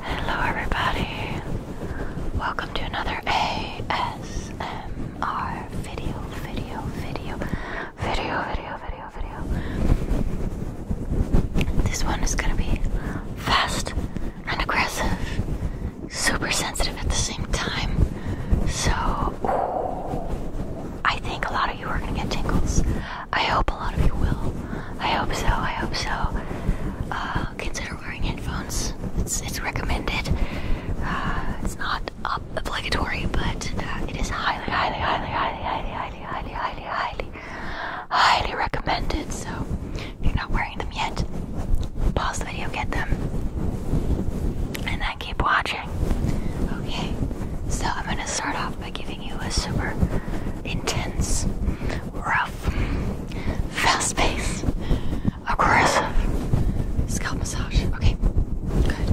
Hello, everybody. Welcome to another ASMR video, video, video, video, video, video, video. This one is gonna be fast and aggressive, super sensitive at the same time. So, I think a lot of you are gonna get tingles. I hope a lot of you will. I hope so. I hope so. Uh, consider wearing headphones. It's it's recommended. Uh, it's not ob obligatory, but uh, it is highly, highly, highly, highly, highly, highly, highly, highly, highly recommended. So if you're not wearing them yet, pause the video, get them, and then keep watching. Okay. So I'm gonna start off by giving you a super intense, rough, fast pace, aggressive scalp massage. Okay, good. Okay.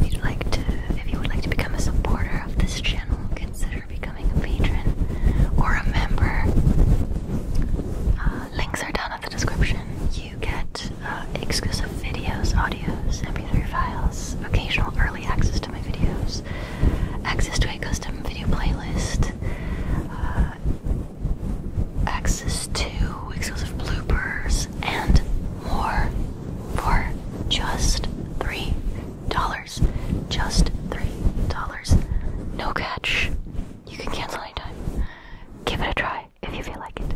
If you'd like to, if you would like to become a supporter of this channel, consider becoming a patron or a member. Uh, links are down at the description. You get uh, exclusive videos, audios, MP3 files, occasional early access to my videos, access to a custom video playlist, uh, access plus two exclusive bloopers and more for just three dollars. Just three dollars. No catch. You can cancel anytime. Give it a try if you feel like it.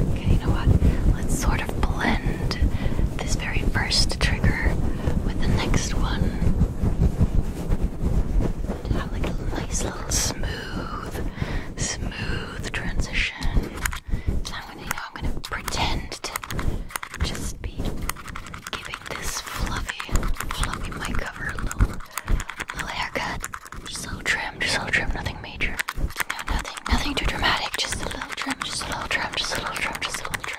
Okay, you know what? Let's sort of blend this very first trigger with the next one to have like a nice little smooth, smooth transition. So I'm gonna, you know, I'm gonna pretend to just be giving this fluffy, fluffy mic cover a little, little haircut. Just a little trim, just a little trim, nothing major. You know, nothing, nothing too dramatic. Just a little trim, just a little trim, just a little trim, just a little trim.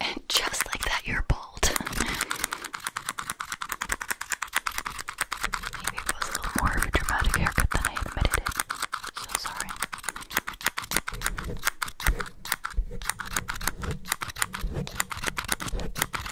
And just like that, you're bald. it was a little more of a dramatic haircut than I admitted So sorry.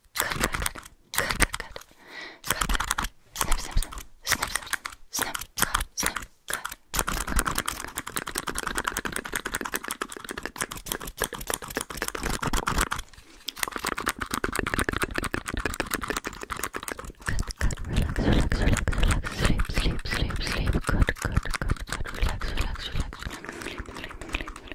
Good, good, good. Good, good, good. Good, good. Snip, snip, snip. Snip, snip, snip. Snip, good, snip, good. Good, good. Relax, relax, relax, relax. Sleep, sleep, sleep, sleep. Good, good, good, good. Relax, relax, relax, relax. Sleep, sleep, sleep,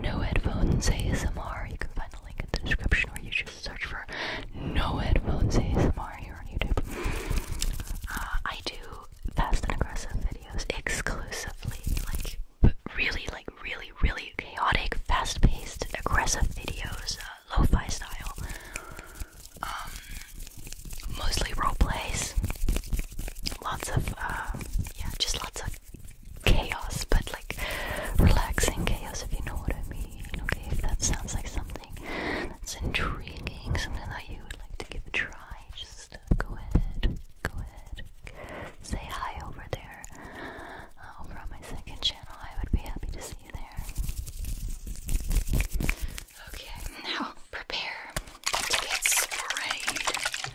no headphones ASMR. You can find the link in the description or you just search for no headphones ASMR here on YouTube. Uh, I do fast and aggressive videos exclusively, like really, like really, really chaotic, fast-paced, aggressive videos, uh, style. Um, mostly role Lots of, uh, yeah, just lots of chaos, but like relaxing chaos, if you know what I mean. Okay, if that sounds like something that's intriguing, something that you would like to give a try, just go ahead, go ahead, say hi over there, uh, over on my second channel. I would be happy to see you there. Okay, now prepare to get sprayed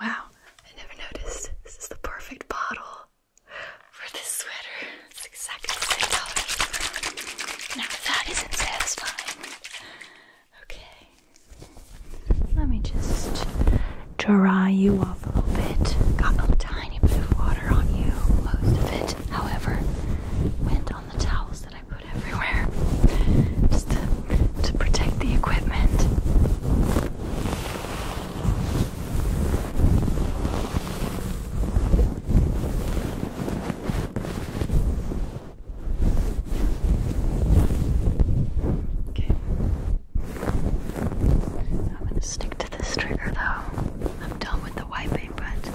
wow, I never noticed. This is the perfect bottle for this sweater. It's exactly the same Now that isn't satisfying. Okay. Let me just dry you off a little bit. Got a tiny bit of water on you, most of it however, went on the towels that I put everywhere just to, to protect the equipment. Okay. I'm going to stick to this trigger though. I'm done with the wiping, but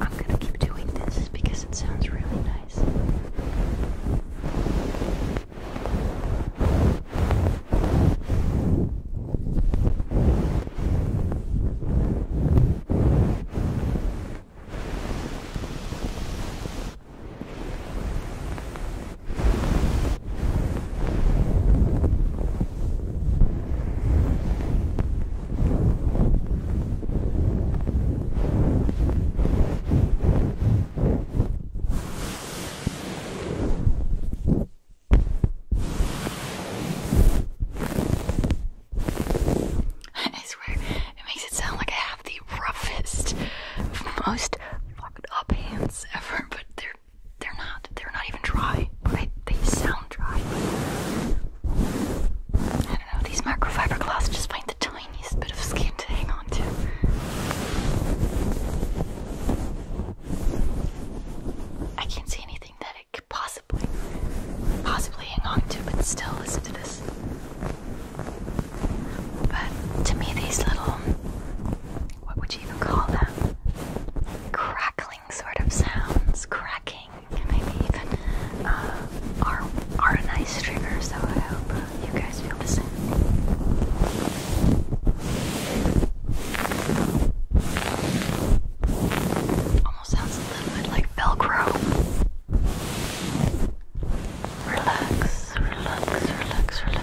I'm gonna keep doing this because it sounds really nice. All I swear, it makes it sound like I have the roughest, most fucked up hands ever, but they're they're not they're not even dry, Right? they sound dry. I don't know. These microfiber cloths just find the tiniest bit of skin to hang on to. I can't see anything that it could possibly possibly hang on to, but still listen to this. But to me, these little what would you even call them? Crackling sort of sounds, cracking, maybe even, uh, are, are a nice trigger, so I hope you guys feel the same. Almost sounds a little like Velcro. Relax, relax, relax, relax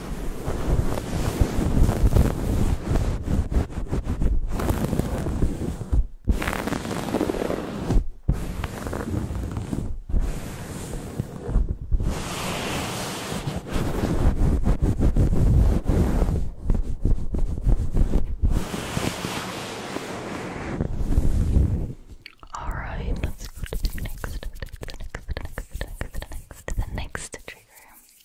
all right, let's go to the next, the next, the next, the next, the next, the next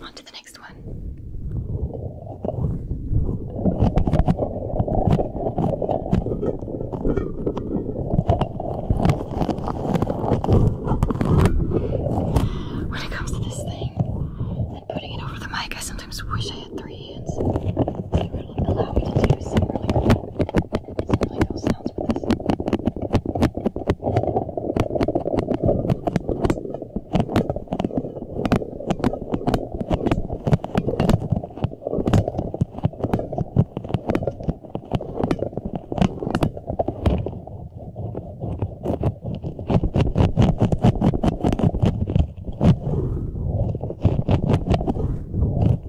On to the next one. When it comes to this thing and putting it over the mic, I sometimes wish I had three hands. They would allow me to do some Simply those sounds with this. Thank you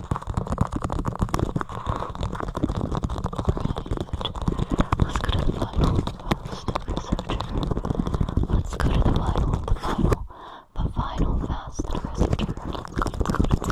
Let's go to the final, oh, stupid soldier. Let's go to the final, the final, the final fast soldier. Let's go, let's go, let's go. Let's go,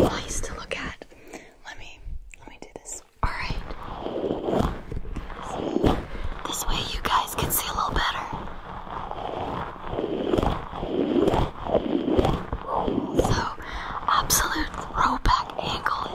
Nice to look at. Let me let me do this. All right. This way you guys can see a little better. So, absolute throwback angle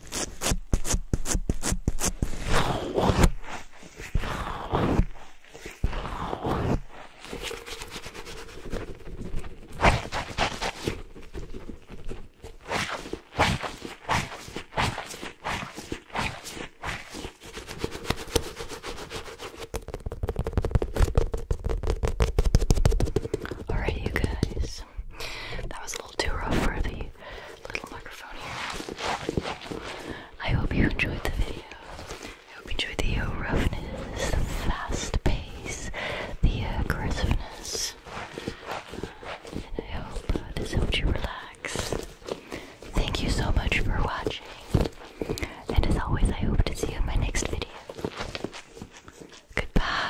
Alright, you guys, that was a little too rough for the little microphone here. I hope you enjoyed the video. I hope you enjoyed the uh, roughness, the fast pace, the aggressiveness. And I hope uh, this helped you relax. Thank you so much for watching. And as always, I hope to see you in my next video. Goodbye.